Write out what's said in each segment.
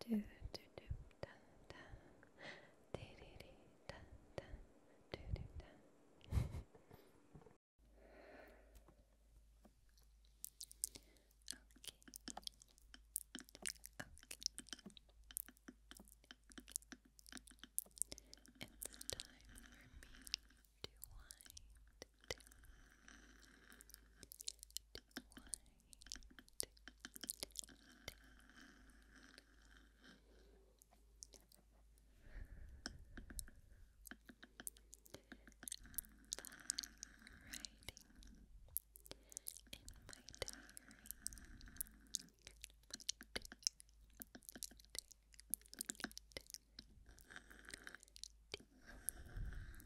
do do do da da dee dee dee da da do do da Okay. Okay. It's time for me to wind down. To diary.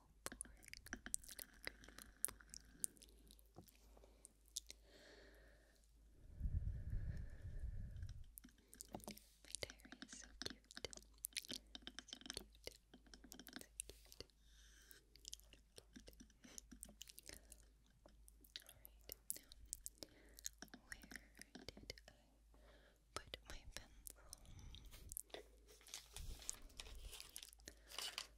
My diary is so cute. where did I put my pencil?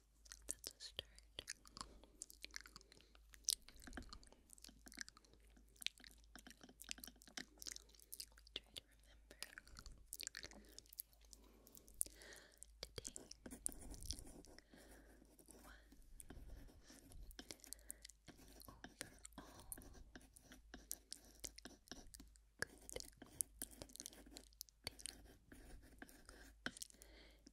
That's a start. Try to remember today was overall good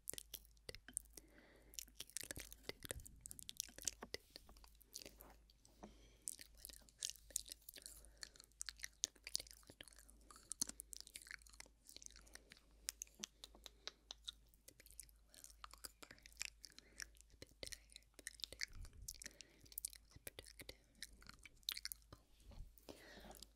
That's cute. Cute little dude. Little dude. What else happened? The meeting went well. I woke up early. A bit tired, but it was productive. Oh.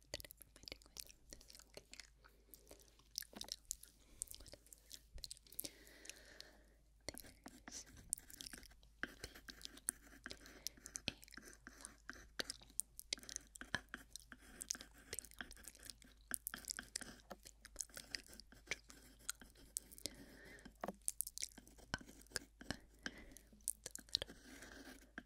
that I'm reminding myself this, okay? What else? What else has happened? There's been a lot of family drama. Ugh. The little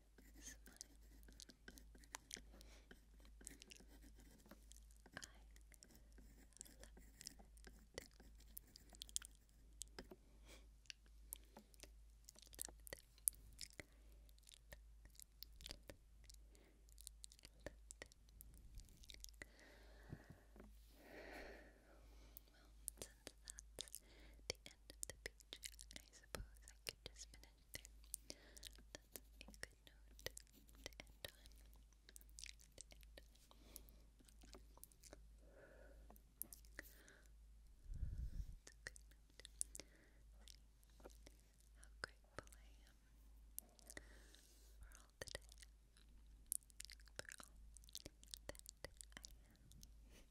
smile. Well, since that's end of the beach. I suppose I could just finish there. That's a good note to end on. To end a good note. how grateful I am for all that I am. For all that I am.